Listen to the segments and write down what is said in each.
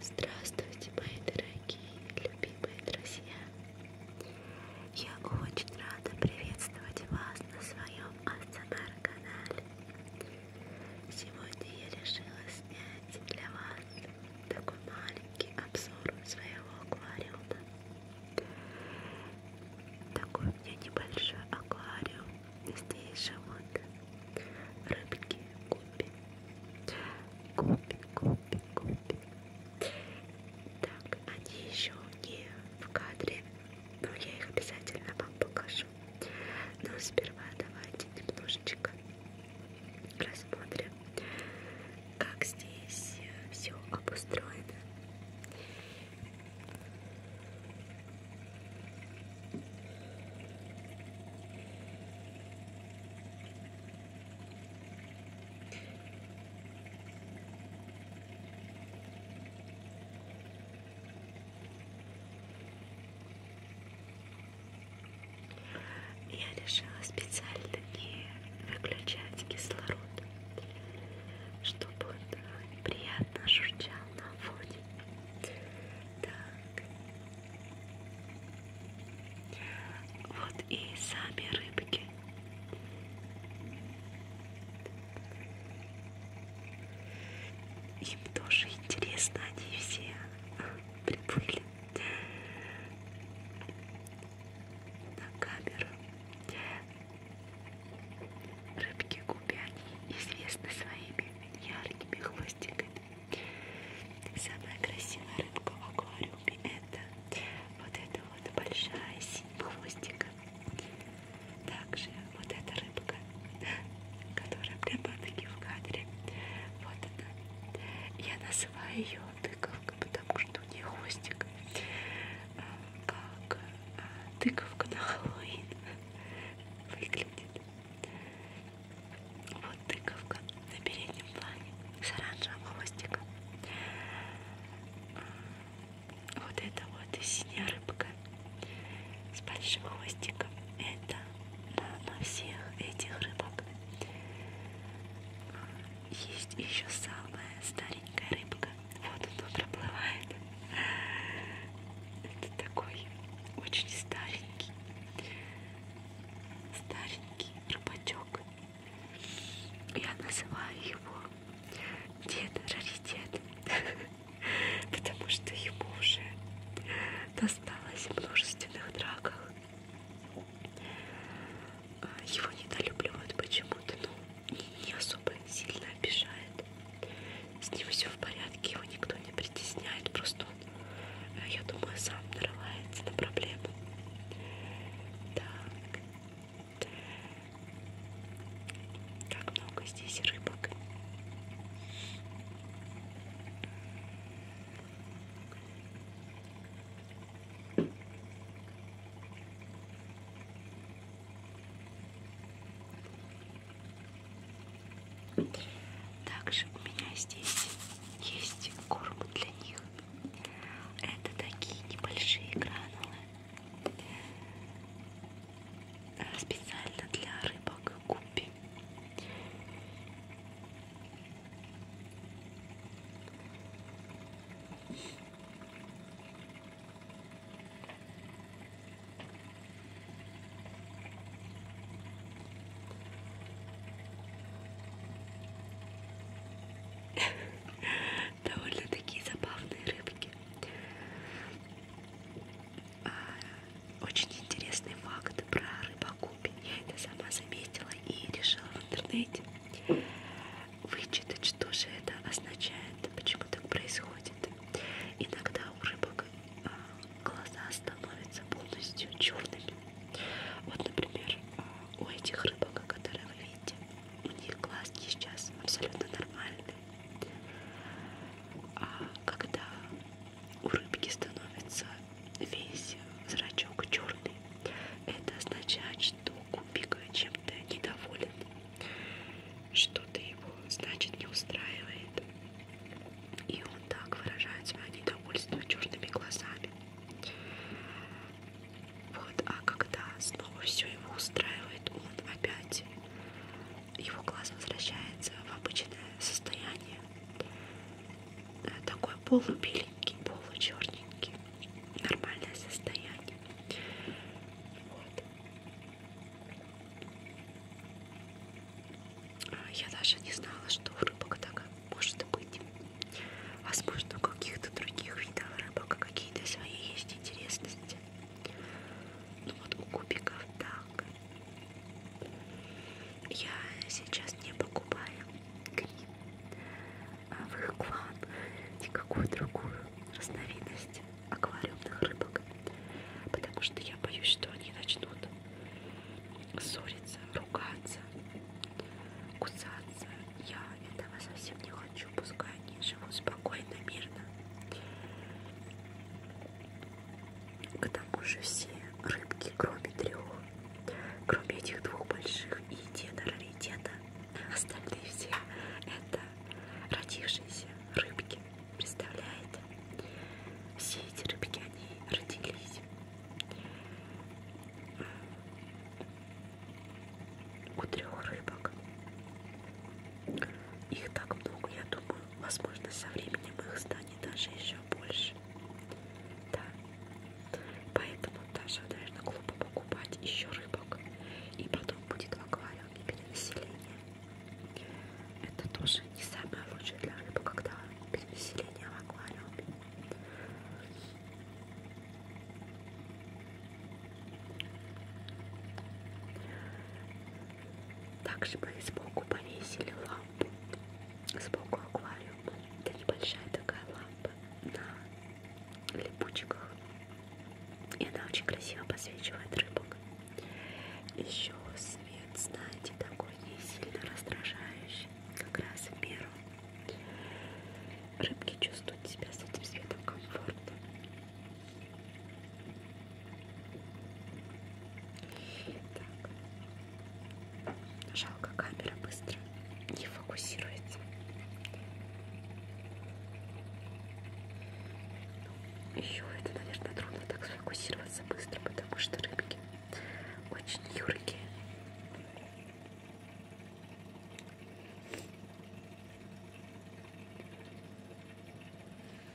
Здравствуйте, мои дорогие, любимые друзья! Я очень рада приветствовать вас на своем АСМР-канале. Сегодня я решила снять для вас такой маленький обзор своего аквариума. Такой у меня небольшой аквариум Здесь живут рыбки, гупи, гупи, гупи, гупи. Так, они еще не в кадре, но я их обязательно вам покажу. Но сперва давайте немножечко рассмотрим, как здесь все обустроено. Я решила специально не выключать кислород, чтобы он приятно журчал на фоне. Так. Вот и сами рыбки. Им тоже интересно, они все приплыли на камеру. Рыбки губяни известны своими яркими хвостиками. Самая красивая рыбка в аквариуме это вот эта вот большая синь хвостика. Также вот эта рыбка, которая прямо таки в кадре. Вот она. Я называю ее тыковка, потому что у нее хвостик а, как тыковка на Хэллоуин выглядит. Вот тыковка на переднем плане с оранжевым хвостиком. Вот это вот синяя рыбка с большим хвостиком. Это мама всех этих рыбок. Есть еще самая старенькая рыбка воду тут проплывает. Это такой очень старенький, старенький рыбачок. Я называю его дед раритет, потому что ему уже досталось в множественных драках. А, его недолюбливают почему-то, но ну, и не особо сильно обижает. С ним все в порядке, его никто не притесняет, просто он, э, я думаю, сам нарывается на проблему. Так. Как много здесь рыбок. Также у меня здесь есть корм для них. Это такие небольшие гранулы. Э, специально для рыбок гуппи. Довольно такие забавные рыбки. А, очень интересный факт про рыбокупи. Я это сама заметила и решила в интернете вычитать, что же это означает, почему так происходит. Иногда у рыбок а, глаза становятся полностью черными. Вот, например, а, у этих рыбок, которые вы видите, у них глазки сейчас абсолютно нормальные. А когда у рыбки становится весь зрачок черный, это означает, что Кубика чем-то недоволен, что-то его, значит, не устраивает. И он так выражает свое недовольство черными глазами. Вот, а когда снова все его устраивает, он опять, его глаз возвращается в обычное состояние. Э, такое полубеленький, получерненький. Нормальное состояние. Вот. А, я даже не знала, что у рыбок так может быть. Возможно, а у каких-то других видов рыбок какие-то свои есть интересности. Ну вот у кубиков так. Я сейчас не покупаю гриб. А, в их клан никакую другую разновидность аквариумных рыбок, потому что я боюсь, что они начнут ссориться, ругаться, кусаться. Я этого совсем не хочу, пускай они живут спокойно, мирно. К тому же все рыбки, кроме трех, Кроме этих двух больших и деда раритета, остальные все это родившиеся рыбки. Представляете? Все эти рыбки, они родились. У трех рыбок. Их так много, я думаю, возможно, со временем их станет даже еще больше. Да. Поэтому даже, наверное, глупо покупать еще рыбок. И потом будет в аквариуме перенаселение. Это тоже не самое лучшее для рыбы, когда перенаселение в аквариуме. Также бы сбоку повесили лаву лампы. Сбоку аквариум, это небольшая такая лампа на липучках. И она очень красиво подсвечивает рыбок. Еще свет, знаете, такой не сильно раздражающий, как раз в меру. Рыбки чувствуют себя с этим светом комфортно. Так, Жалко, камера быстро не фокусируется. Ну, Еще это, наверное, трудно так сфокусироваться быстро, потому что рыбки очень юркие.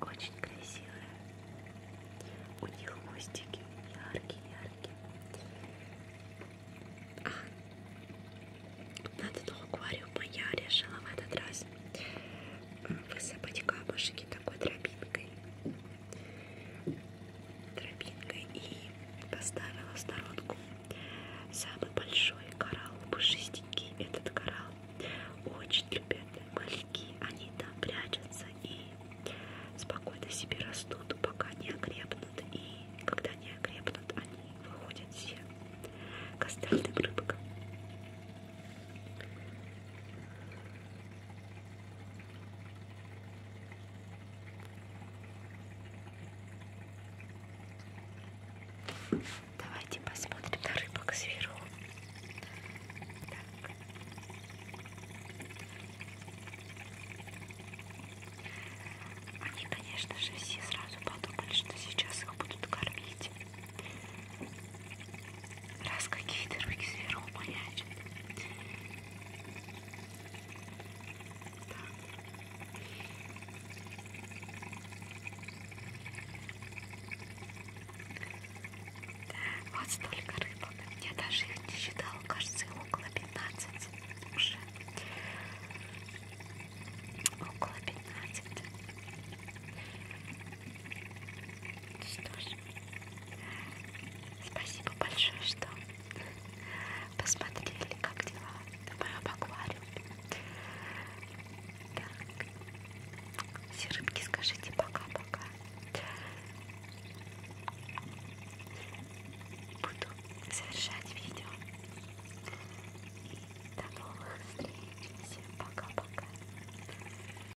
Очень красивые. У них мостики яркие-яркие. Надо до аквариума я решила в этот раз высыпать камушки такой тропинкой тропинкой и поставила в сторонку самый большой коралл, пушистенький этот коралл. Очень любят маленькие, они там прячутся и спокойно себе растут, пока не окрепнут. И когда не окрепнут, они выходят все к остальным рыбкам. Давайте посмотрим на рыбок сверху. Так. Они, конечно же, все сразу подумали, что сейчас их будут кормить. Раз какие-то руки сверху маячат, вот столько рыбок. Я даже их не считала, кажется, около 15 уже. Около 15. Что ж, Спасибо большое, что посмотрели, как дела в моем аквариуме. Так, все рыбки скажите пока-пока. Буду завершать видео. И до новых встреч. Всем пока-пока.